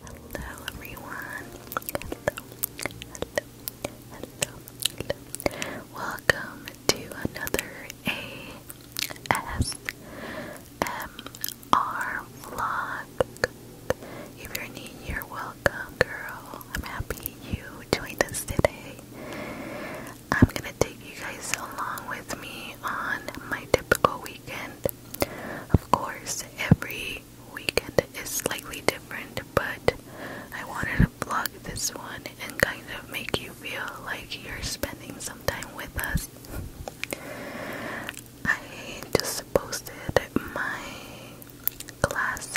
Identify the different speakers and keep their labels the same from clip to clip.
Speaker 1: Hello everyone. Welcome to another ASMR vlog. If you're new here, welcome welcome, girl. I'm happy you joined us today. I'm gonna take you guys along with me on my typical weekend. Of course, every weekend is slightly different, but I wanted to vlog this one and kind of make you feel like you're spending some time with us. I just posted my class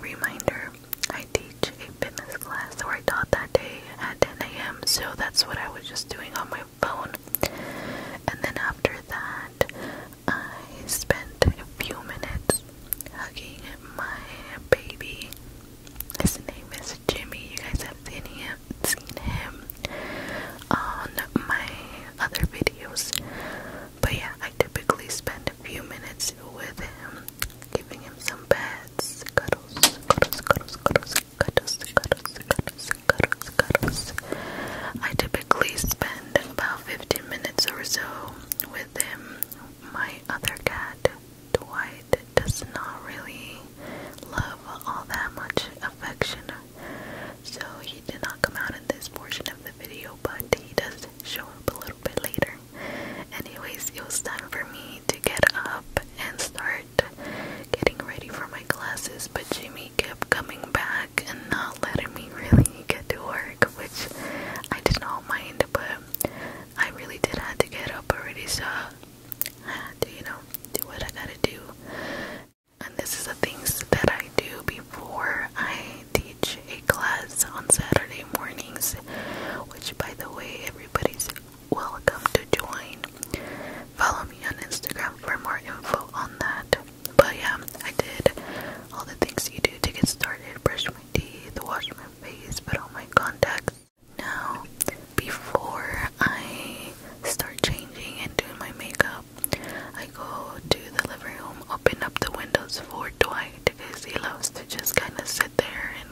Speaker 1: reminder. I teach a fitness class, so I taught that day at 10 a.m., so that's what I was just doing on my phone. And then after that, I spent a few minutes hugging my baby. His name is Jimmy. You guys have seen him, seen him on my other videos. But yeah, I typically spend a few minutes with him, giving him some pets, cuddles, cuddles, cuddles, cuddles, cuddles, cuddles, cuddles, cuddles, I typically spend about 15 minutes or so with him. My other cat, Dwight, does not really love all that much affection so he did not come out in this portion of the video, but he does show up a little bit later. Anyways, it was time for me to get up and start getting ready for my classes, but Jimmy kept coming back and not letting me really get to work, which I did not mind, but I really did have to get up already, so I had to, you know, do what I gotta do. And this is the things that I do before I teach a class on Saturday mornings, which, by the way, everybody's welcome to join. Follow me on Instagram for more info on that. But yeah, I did all the things you do to get started brush my teeth, wash my face, put on my contacts. Now, before I start changing and doing my makeup, I go to the living room, open up the windows for Dwight because he loves to just kind of sit there and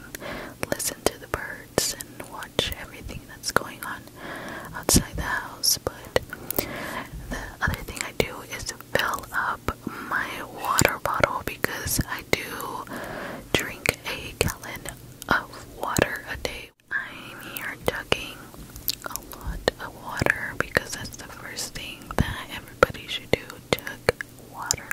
Speaker 1: listen to the birds and watch everything that's going on outside the house. But the other thing I do is fill up my water bottle because I do drink a gallon of water a day. I'm here talking a lot of water because that's the first thing that everybody should do. Chug water,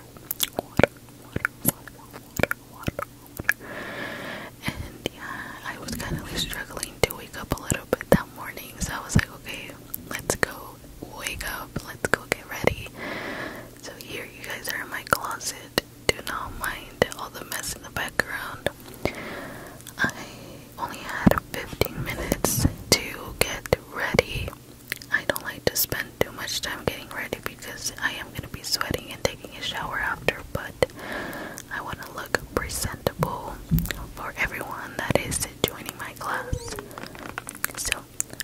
Speaker 1: And yeah, I was kind of struggling to wake up a little bit that morning, so I was like, okay, let's go wake up, let's go get ready. So here you guys are in my closet. Do not mind all the mess in the background. I only had 15 minutes to get ready. I don't like to spend too much time getting ready because I am going to be sweating and taking a shower after, but I want to look presentable for everyone that is joining my class. So,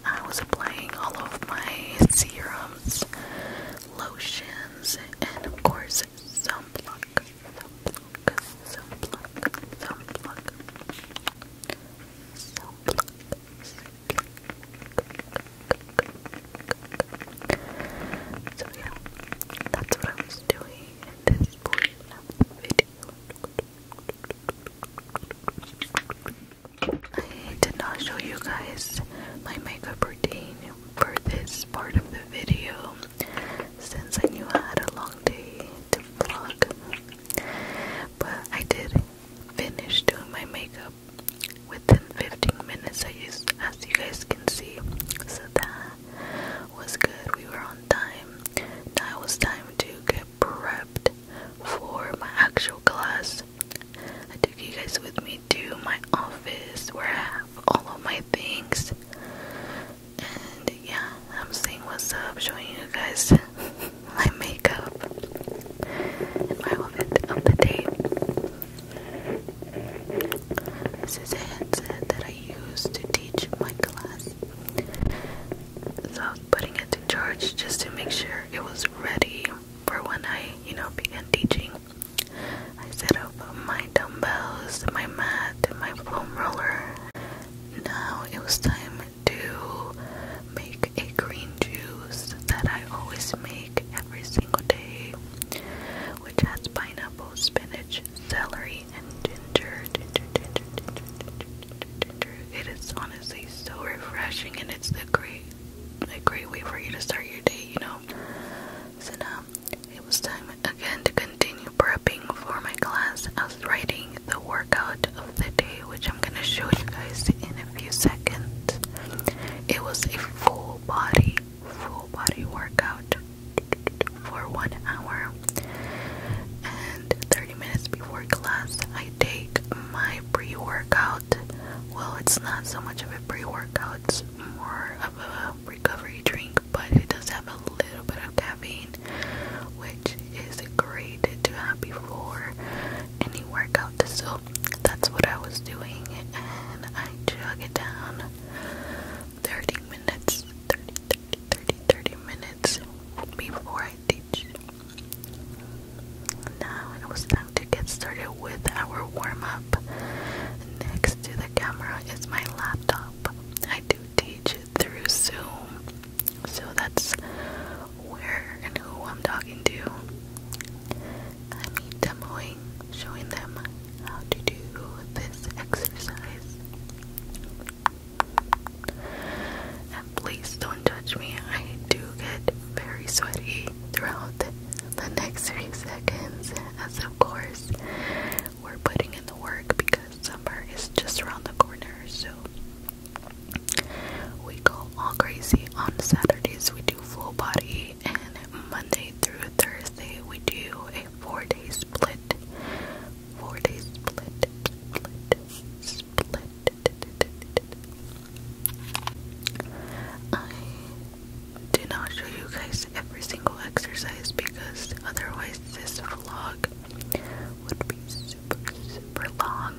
Speaker 1: I was applying all of my serums, lotions, and of course, sunblock so yeah, that's what I was doing at this point of the video. I did not show you guys my makeup routine for this part of the video since I knew I had a long day to vlog. But I did finish doing my makeup within 15 minutes, I used, as you guys can see. So that was good. We were on time. Now it was time to get prepped for my actual class. I took you guys with me to my office where I have all of my things and yeah, I'm saying what's up, showing you guys my makeup and my outfit of the day. This is a headset that I use to teach my class. So putting it to charge just to make sure it was ready for when I, you know, began teaching. I set up my my dumbbells, my mat, my foam roller. Now it was time to make a green juice that I always make every single day, which has pineapple, spinach, celery, and ginger. It is honestly so refreshing, and it's a great, a great way for you to start your day. You know, so now um, it was time again to continue prepping for my class. I was writing the workout of the day, which I'm gonna show you guys in a few seconds. It was a full body, full body workout for one hour. And 30 minutes before class, I take my pre workout. Well, it's not so much of a pre workout, it's more of a um, recovery drink, but it does have a little bit of caffeine, which is great to have before any workout. So that's what I was doing, and I jog it down 30 minutes, 30, minutes before I teach. Now it was time to get started with our warm up. Next to the camera is my laptop. I do teach it through Zoom, so that's where and who I'm talking to. I mean, demoing, showing them how to do this exercise. And please don't touch me, I do get very sweaty throughout the next three seconds, as of course we're putting in the work because summer is just around the corner. So we go all crazy on Saturdays. We do full body, and Monday through Thursday we do a four-day split. Four-day split, split, split. I did not show you guys every single exercise because otherwise this vlog would be super super long.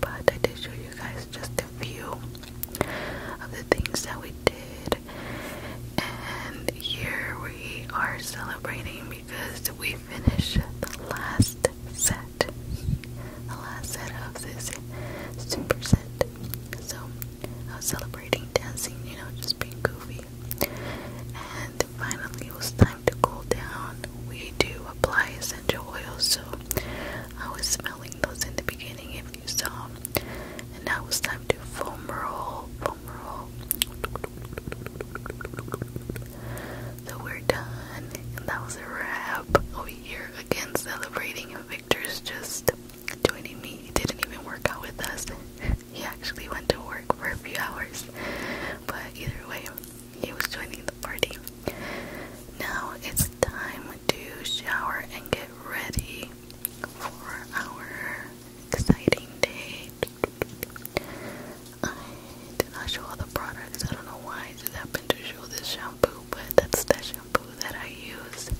Speaker 1: But I did show you guys just a few of the things that we did. And here we are celebrating because we finished the last set. The last set of this super set. So I was celebrating, dancing, you know, just being goofy. And finally, it was time to cool down. We do apply essential oils, so I was smelling those in the beginning, if you saw. And now it's time to foam roll, foam roll. So we're done, and that was a wrap. Over here again, celebrating, and Victor's just joining me. He didn't even work out with us. he actually went to work for a few hours. But either way, he was joining the party. Now it's time to shower and get ready for our exciting day. I did not show all the products. I don't know why I just happened to show this shampoo, but that's the shampoo that I use.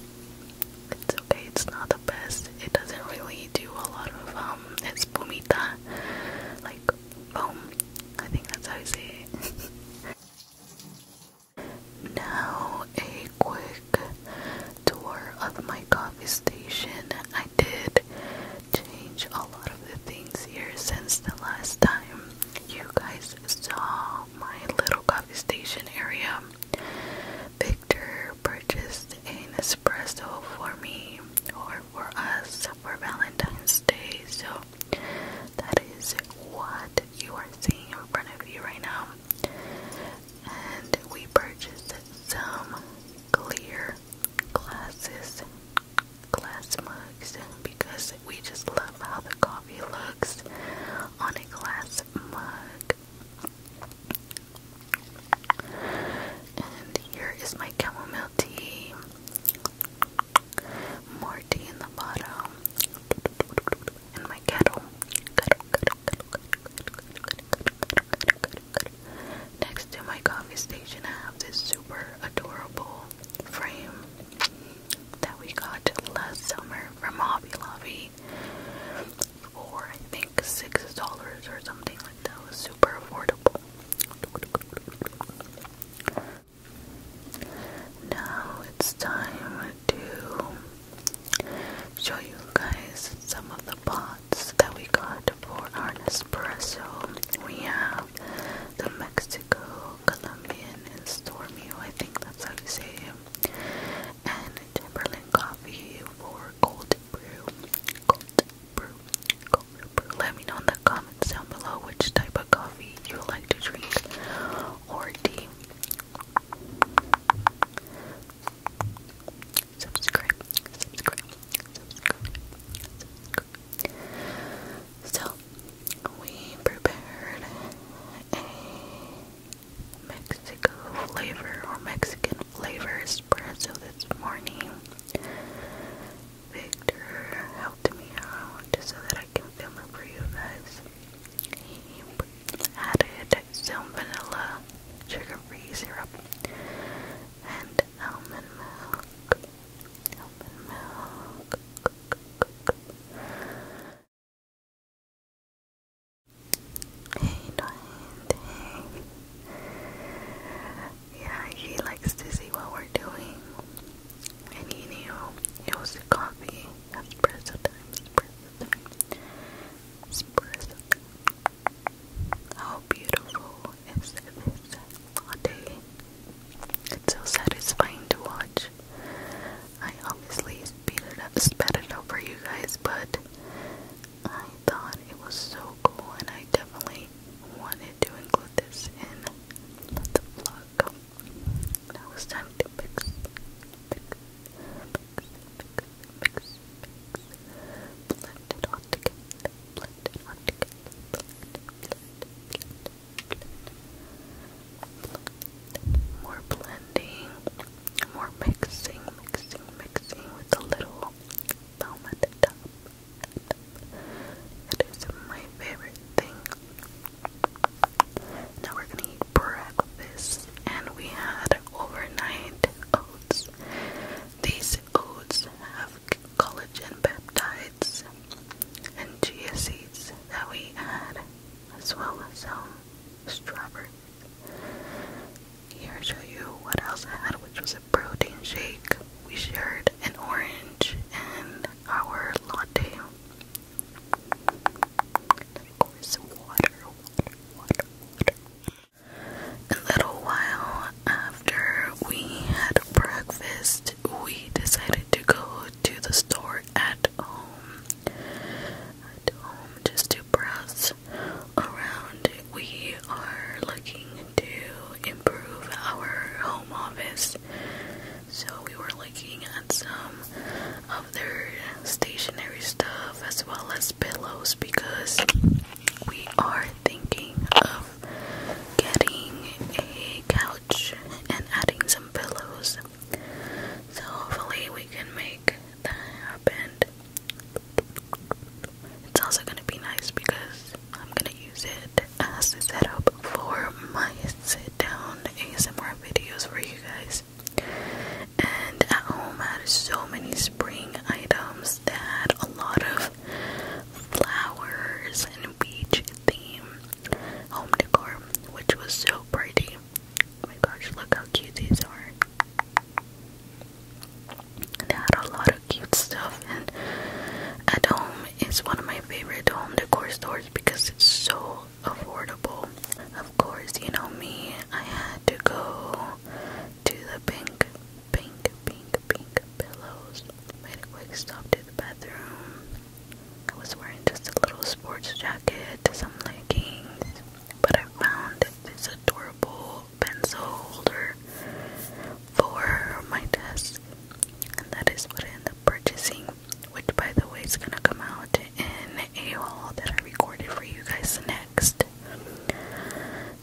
Speaker 1: It's okay, it's not the best. It doesn't really do a lot of um It's espumita, like foam. I think that's how you say now a quick tour of my coffee station. I did change a lot of the things here since the last time you guys saw my little coffee station area. They Victor purchased an espresso for me or for us for Valentine's Day. So that is what you are seeing in front of you right now. And we purchased some clear glasses, glass mugs, because we just love how the coffee looks on a glass mug back. And here is my chamomile tea. More tea in the bottom. And my kettle. Next to my coffee station, I have this super adorable frame that we got last summer from Hobby Lobby for I think six dollars or something like that. was super affordable. Now it's time to show you guys some of the pots that we got for our Nespresso. We have the Mexico, Colombian, and Stormio, I think that's how you say it, and Timberland coffee for cold let me know in the comments down below which type of coffee you like to drink or tea. subscribe, subscribe, subscribe. So we prepared a Mexico flavor or Mexican flavor espresso this morning. Victor helped me out so that I can film it for you guys. He added some vanilla, sugar syrup, and almond milk. Almond milk. Hey Diane, Yeah, he likes to see what we're doing. And he knew it was a coffee. Espresso time, espresso Espresso How beautiful is this latte? It's so satisfying to watch. I obviously speed it sped it up for you guys, but I thought it was so cool and I definitely wanted to include this in the vlog. Now it's time to mix, mix, mix, mix, mix, mix. blend it all together, blend it all together, More blending. More mixing, mixing, mixing with the little foam at my favorite thing. Now we're gonna eat breakfast, and we had overnight oats. These oats have collagen peptides and chia seeds that we add, as well as some um, strawberry. Here I show you what else I had, which was a protein shake. We shared an orange and our latte. of course, water, water, water, water. A little while after we had breakfast, we decided to go to the store at home. At home, just to browse around, we are looking to improve our home office. So we were looking at some of their stationary stuff as well as pillows because we are thinking of getting a couch and adding some pillows. So hopefully we can make that happen. It's also gonna be nice because I'm gonna use it as the setup for my sit down ASMR videos for you guys. And at home, I had so many spring items that had a lot of flowers and beach theme home decor, which was so pretty. Oh my gosh, look how cute these are. They had a lot of cute stuff, and at home is one of my favorite home decor stores because it's so affordable. Of course, you know me, I had to go to the pink, pink, pink, pink pillows. Made a quick stop to the bathroom. I was wearing just a little sports jacket, some leggings, but I found this adorable pencil holder for my desk, and that is what I ended purchasing. Which, by the way, is gonna come out in a haul that I recorded for you guys next.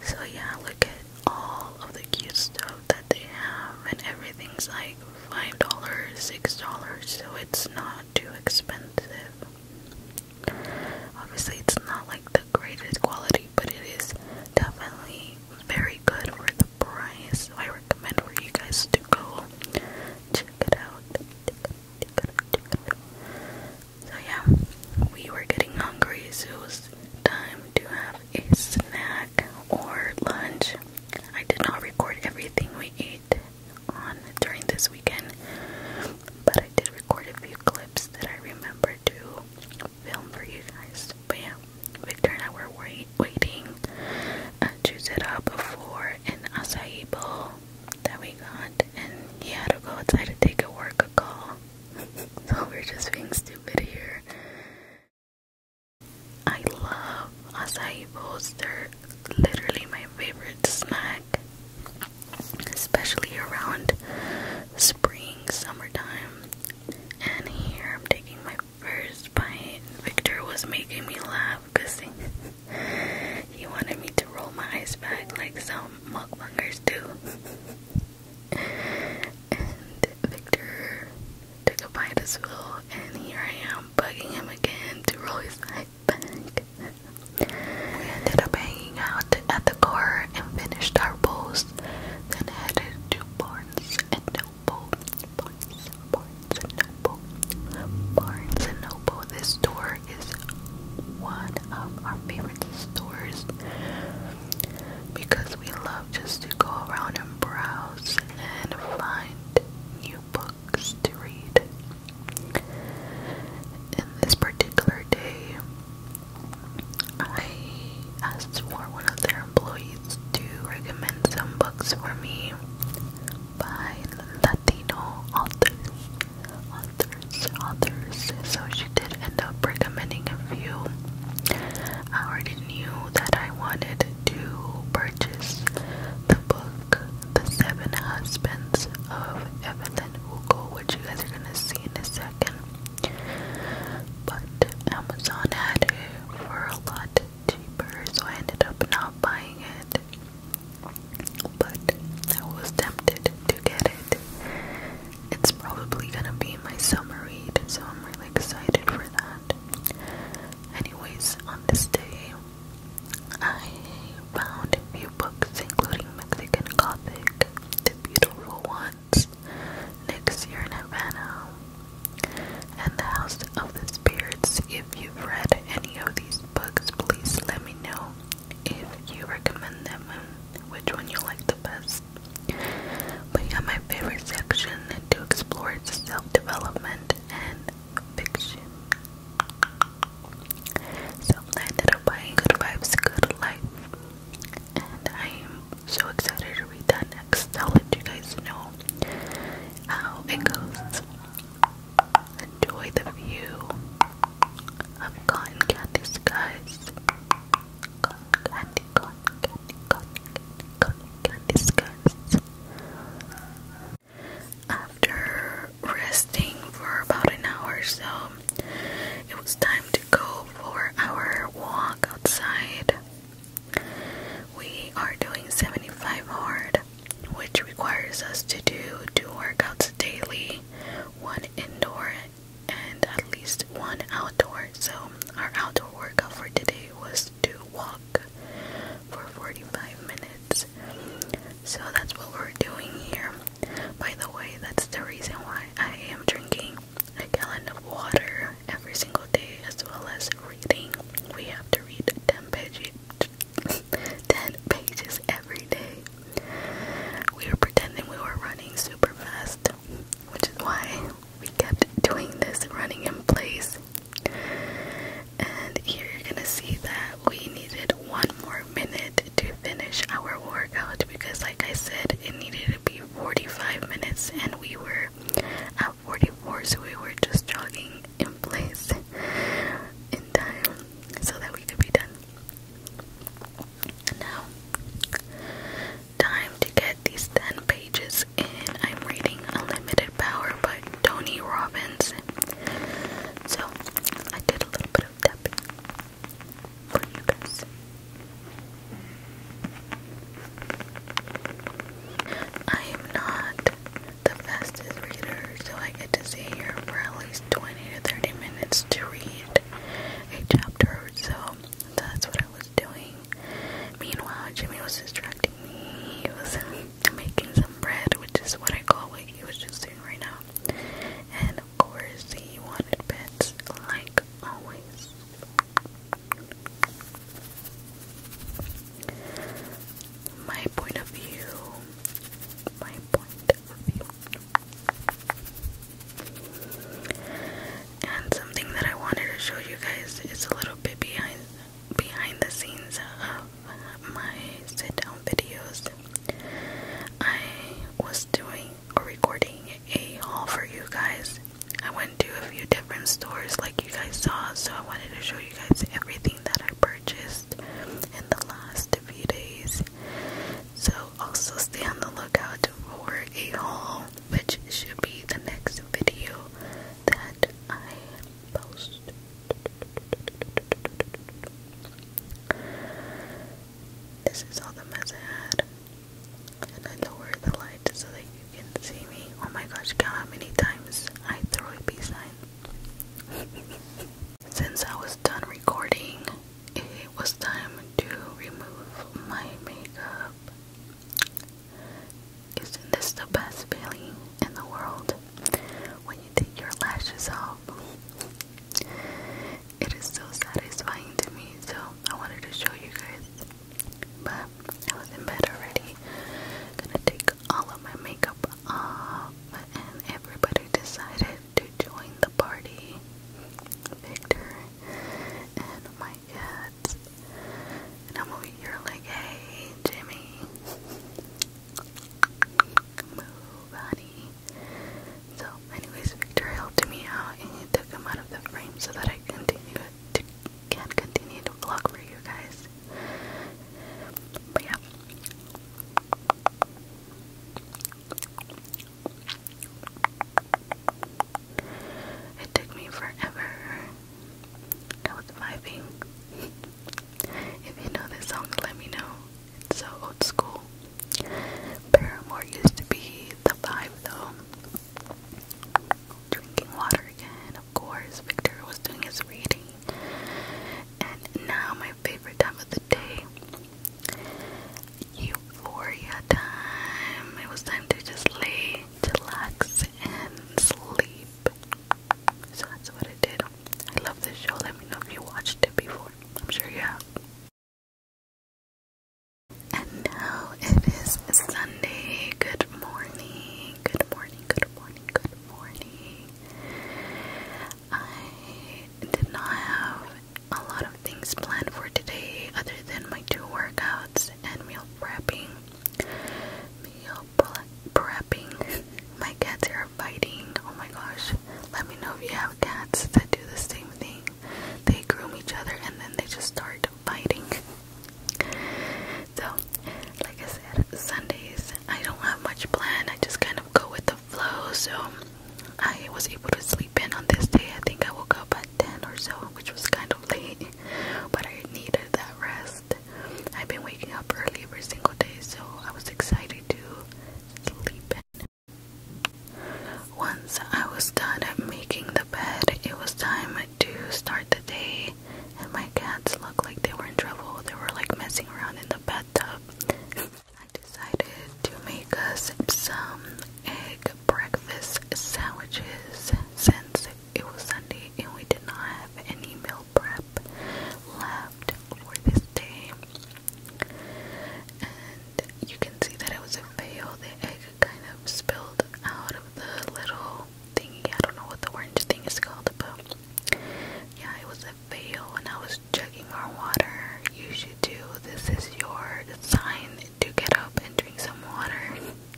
Speaker 1: So, yeah, look at all of the cute stuff that they have, and everything's like $5, $6, so it's not too expensive. Obviously, it's not like the greatest quality, but it is definitely very good for the price. I recommend for you guys to go check it out. So yeah, we were getting hungry, so it was time to have a snack or lunch. I did not record everything we ate on during this weekend, but I did record a few clips that I remember to film for you guys. But yeah, Victor and I were wait waiting uh, to set up for an acai bowl that we got, and he had to go outside to take a work call. so we're just being stupid here. I love acai bowls literally my favorite snack, especially around spring, summertime. And here I'm taking my first bite. Victor was making me laugh because he, wanted me to roll my eyes back like some mukbangers do. and Victor took a bite as well, and here I am bugging him again to roll his eyes we ended up hanging out at the car and finished our bowls, then headed to Barnes and Noble. Barnes and Noble. This store is one of our favorite stores because we love just to go around and browse and find new books to read. And this particular day, I asked for one of their employees to recommend some books for me by Latino authors, authors, authors. So she did end up recommending a few. I already knew that I wanted to purchase the book The Seven Husbands of Evelyn that will go which you guys are gonna see in a second. But Amazon had it for a lot cheaper, so I ended up not buying it. But I was tempted to get it. It's probably gonna be my summer read, so I'm really excited for that. Anyways, on this day, I found a few books, including Mexican Gothic, The Beautiful Ones, Next Year in Havana, and The House of the Spirits. If you've read any of these books, please let me know if you recommend them which one you like the best. But yeah, my favorite section to explore is self development and fiction. So I'm glad buying Good Vibes, Good Life. And I am so excited to read that next. I'll let you guys know how it goes. Enjoy the view of cotton candies, guys. Cotton candy, cotton candy, cotton candy, cotton candy, guys. After resting for about an hour or so, it was time to go for our walk outside. We are doing 75 hard, which requires us to do two workouts daily one indoor and at least one outdoor. So, our outdoor workout for today was to walk for 45 minutes. So that's what we're doing here. By the way, that's the reason why I am drinking a gallon of water every single day as well as reading. We have to read 10 pages, 10 pages every day. We were pretending we were running super fast, which is why we kept doing this running in place. And here you're gonna see that we needed one more minute to finish our workout because, like I said, it needed to be 45 minutes, and we were at 44, so we were just jogging in place in time so that we could be done. Now, time to get these 10 pages in. I'm reading Unlimited Power by Tony Robbins. So I did a little bit of tapping I am not the fastest reader, so I get to sit here for at least 20 to 30 minutes to read a chapter so. That's what I was doing. Meanwhile, Jimmy was distracting me. He was making some bread, which is what I call what he was just doing right now. And of course, he wanted pets, like always. My point of view. My point of view. And something that I wanted to show you guys is a little bit behind behind the scenes of my sit down videos. I was doing or recording a haul for you guys. I went to a few different stores like you guys saw, so I wanted to show you guys everything that I purchased in the last few days. So also stay on the lookout for a haul, which should be the next video that I post. This is all the mess I had. And I lowered the light so that you can see me. Oh my gosh, count how many times I throw a peace sign. Since I was done recording, it was time to remove my makeup. Isn't this the best feeling in the world? when you take your lashes off. It is so satisfying to me, so I wanted to show you guys. But I was in bed already. Gonna take all of my makeup off, and everybody decided to join the party. Victor and my cats. And I'm over here like, hey, Jimmy. Move, honey. So, anyways, Victor helped me out and he took him out of the frame so that I continue to, continue to vlog for you guys. But yeah. It took me forever. I was vibing. If you know this song, let me know. It's so old school. Paramore used to be the vibe though. Drinking water again, of course. Victor was doing his reading. And now my favorite time of the day. Euphoria time. It was time to just lay, relax, and sleep. So that's what I did. I love this show. Let me know if you watched it before. I'm sure you have. And now it is Sunday. Good morning. Good morning. Good morning. Good morning. I did not have a lot of things planned for today other than my two workouts and meal prepping prepping. my cats are biting. Oh my gosh. Let me know if you have cats that do the same thing. They groom each other and then they just start biting. So, like I said, Sundays I don't have much plan. I just kind of go with the flow. So, I was able to sleep in on this day. I think I woke up at 10 or so, which was kind of late, but I needed that rest. I've been waking up early every single day, so I was excited to sleep in. Once I was done making the bed, it was time to start the day, and my cats looked like they were in trouble. They were like messing around in the bathtub. I decided to make us some egg breakfast sandwiches since it was Sunday and we did not have any meal prep left left for this day. And you can see that it was a fail. The egg kind of spilled out of the little thingy. I don't know what the orange thing is called, but yeah, it was a fail. And I was checking our water. You should do. This is your sign to get up and drink some water.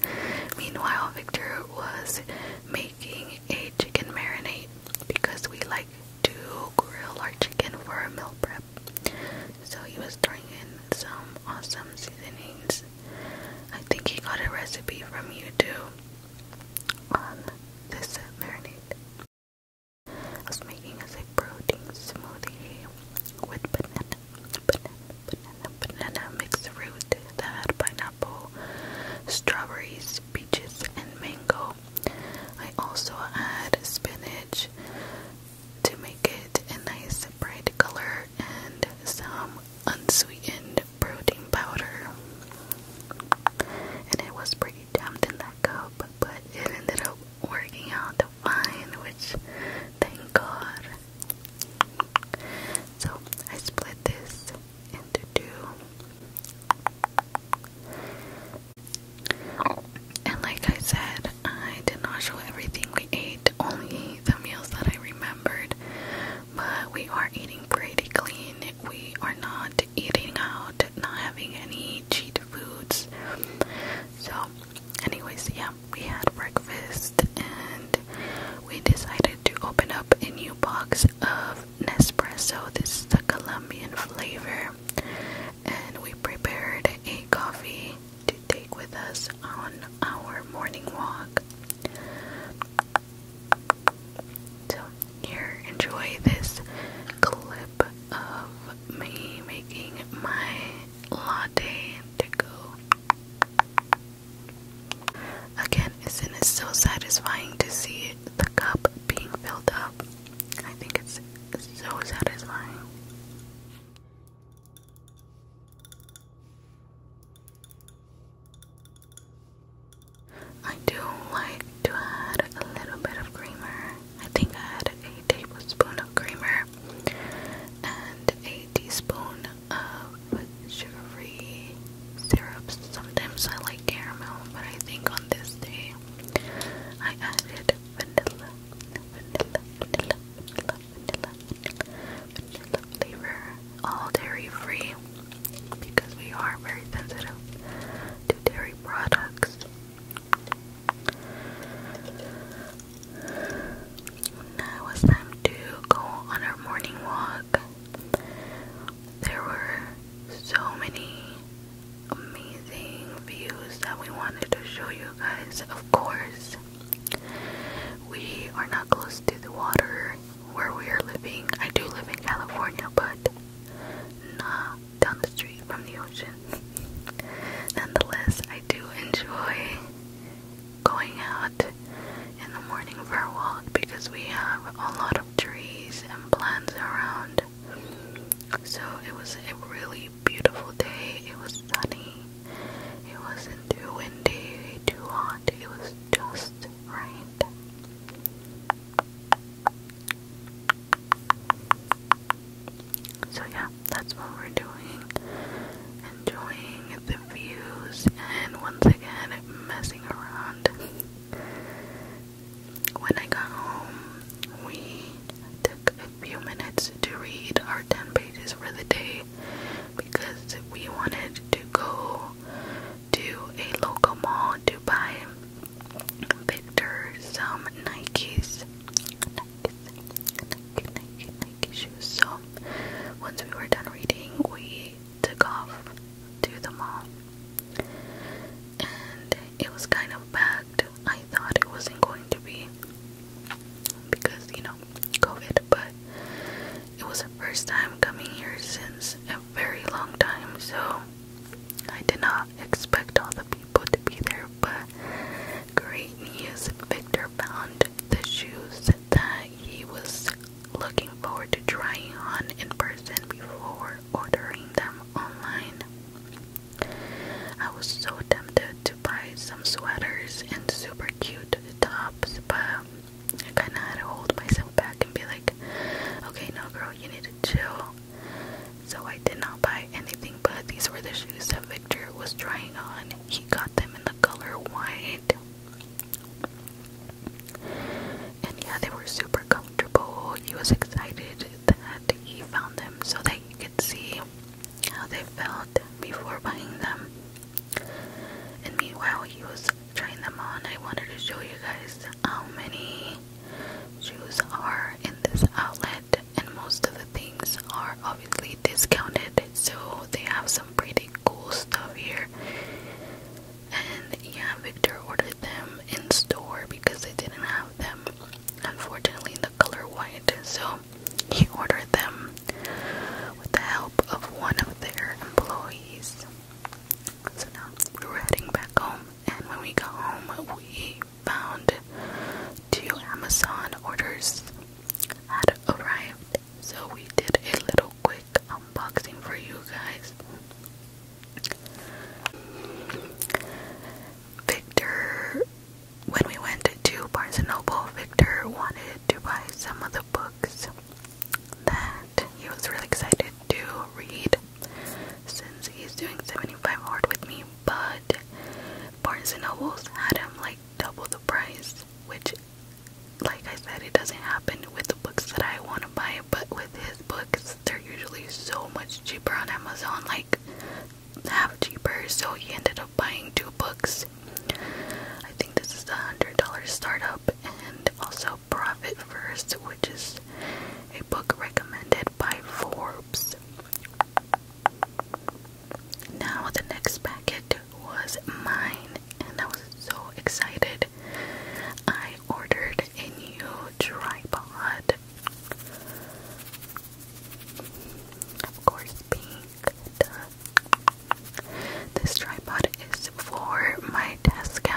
Speaker 1: Meanwhile, Victor was making a chicken marinade because we like to grill our chicken for a meal prep. So he was throwing in some awesome seasonings. I think he got a recipe from YouTube on this marinade. I was making a sick protein smoothie with banana, banana, banana, banana mixed fruit that pineapple, strawberries, peaches, and mango. I also add spinach to make it a nice bright color and some unsweetened protein powder. And it was pretty damp in that cup, but it ended up working out fine, which thank God. So I split this into two and like I said, I did not show everything we ate, only the meals that I remembered. But we are eating pretty clean. We are not eating out, not having any cheat foods. So, anyways, yeah, we had breakfast and we decided to open up a new box of Nespresso. This is the Colombian flavor. And we prepared a coffee to take with us on our morning walk. here, enjoy this clip of me making my latte to go. Again, isn't it so satisfying to see the cup being filled up? I think it's so satisfying. I do like to add a little bit of creamer. I think I added a tablespoon of creamer and a teaspoon of sugar syrups. Sometimes I like caramel, but I think on this day I added vanilla, vanilla, vanilla, vanilla, vanilla, vanilla flavor, all dairy free, because we are very sensitive to dairy products. Now it's time to go on our morning walk. There were so many amazing views that we wanted to show you guys. Of course, we are not close to the water where we are living. I do live in California, but not down the street from the ocean. Nonetheless, I do enjoy going out in the morning for a walk because we have a lot of trees and plants around. So it was a really beautiful day. It was sunny. It wasn't too windy, too hot. It was just right. So yeah, that's what we're doing. Enjoying the views and once again messing around. When I got home, we took a few minutes to read our 10 pages for the day because we wanted to go to a local mall to buy Victor some um, Nikes. Nike, Nike, Nike shoes. So once we were done reading, we took off to the mall. And it was kind of packed. I thought it wasn't going to be because, you know, COVID, but it was the first time coming here since a very long time, so I did not expect all the people to be there, but great news. Victor found the shoes that he was Looking forward to trying on in person before ordering them online. I was so tempted to buy some sweaters and super cute tops, but I kind of had to hold myself back and be like, okay, no, girl, you need to chill. So I did not buy anything, but these were the shoes that Victor was trying on. He got them in the color white. And yeah, they were super comfortable. He was excited that he found them so that you could see how they felt before buying them. And meanwhile, he was trying them on. I wanted to show you guys how many shoes are in this outlet, and most of the things are obviously discounted, so they have some pretty cool stuff here and yeah, Victor ordered them in store because they didn't have them, unfortunately, the color white. So he ordered them with the help of one of their employees. So now we were heading back home, and when we got home, we found two Amazon orders had arrived. So we did a little quick unboxing for you guys. Victor, when we went to Barnes and Noble, Victor wanted to buy some of the books that he was really excited to read since he's doing 75 hard with me, but Barnes and Nobles had him like double the price, which like I said, it doesn't happen with the books that I want to buy, but with his books, they're usually so much cheaper on Amazon, like half cheaper. So he ended up buying two books. I think this is the hundred dollar startup and also Profit First, which is a book recommended by Forbes. Now, the next packet was mine, and I was so excited I ordered a new tripod. Of course, pink. This tripod is for my desk.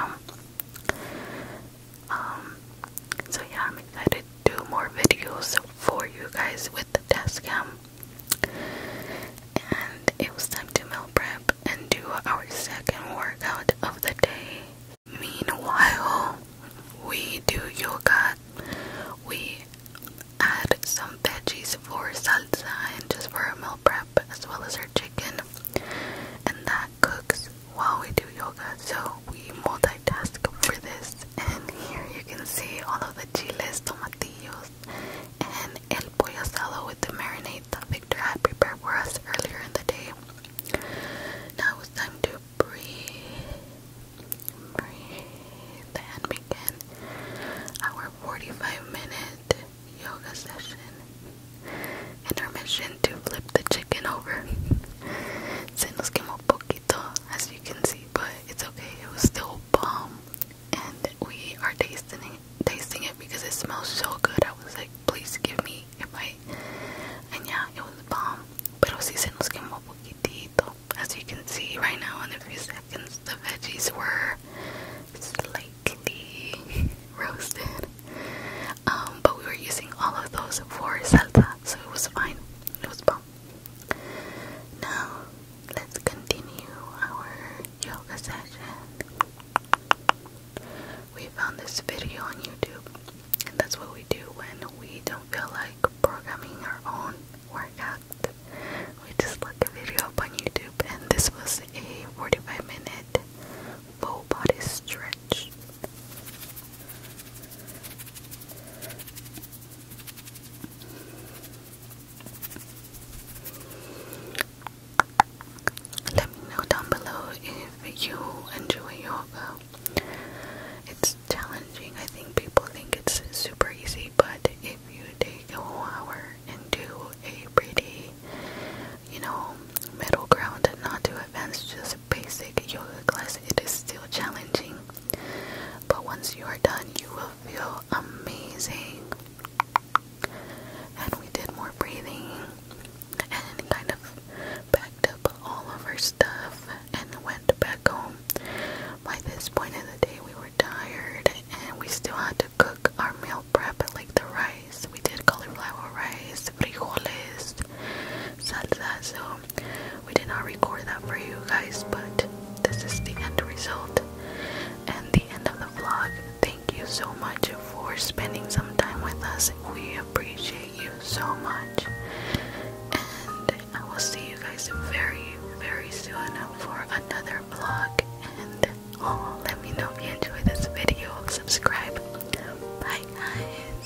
Speaker 1: Um, so yeah, I'm excited to do more videos for you guys with the desk cam. And it was time to melt bread and do our second workout of the day. Meanwhile, we do yoga. We add some veggies for salsa and just for a meal prep, as well as our chicken, and that cooks while we do yoga. So we multitask for this, and here you can see all of the chiles, tomatillos, and el pollo with the marinade that Victor had prepared for us earlier in the day. Now it's time to breathe, breathe, and begin our 45 minute yoga session. Intermission to flip the chicken over. Se quemó poquito, as you can see, but it's okay. It was still bomb, and we are tasting tasting it because it smells so good. I was like, please give me a bite. And yeah, it was bomb. Pero si se nos quemó poquitito. As you can see right now in a few seconds, the veggies were slightly roasted. Um, but we were using all of those for salsa, so it was fine. It was bomb. Now, let's continue our yoga session. We found this video on YouTube, and that's what we do when we don't feel like programming our own workout. We just look a video up on YouTube, and this was a 45 minute full body stretch. Let me know down below if you enjoy yoga. It's challenging. I think people think it's super easy, but if you take a whole hour and do a pretty, you know, middle ground, not too advanced, just basic yoga class, it is still challenging. But once you are done, you will feel amazing and we did more breathing and kind of packed up all of our stuff and went back home. By this point in the day, we were tired and we still had to cook our meal prep, like the rice. We did cauliflower rice, frijoles, salsa, so we did not record that for you guys, but this is the end result and the end of the vlog. Thank thank you so much for spending some time with us. We appreciate you so much. And I will see you guys very, very soon for another vlog. And oh, let me know if you enjoy this video. Subscribe. Bye, guys.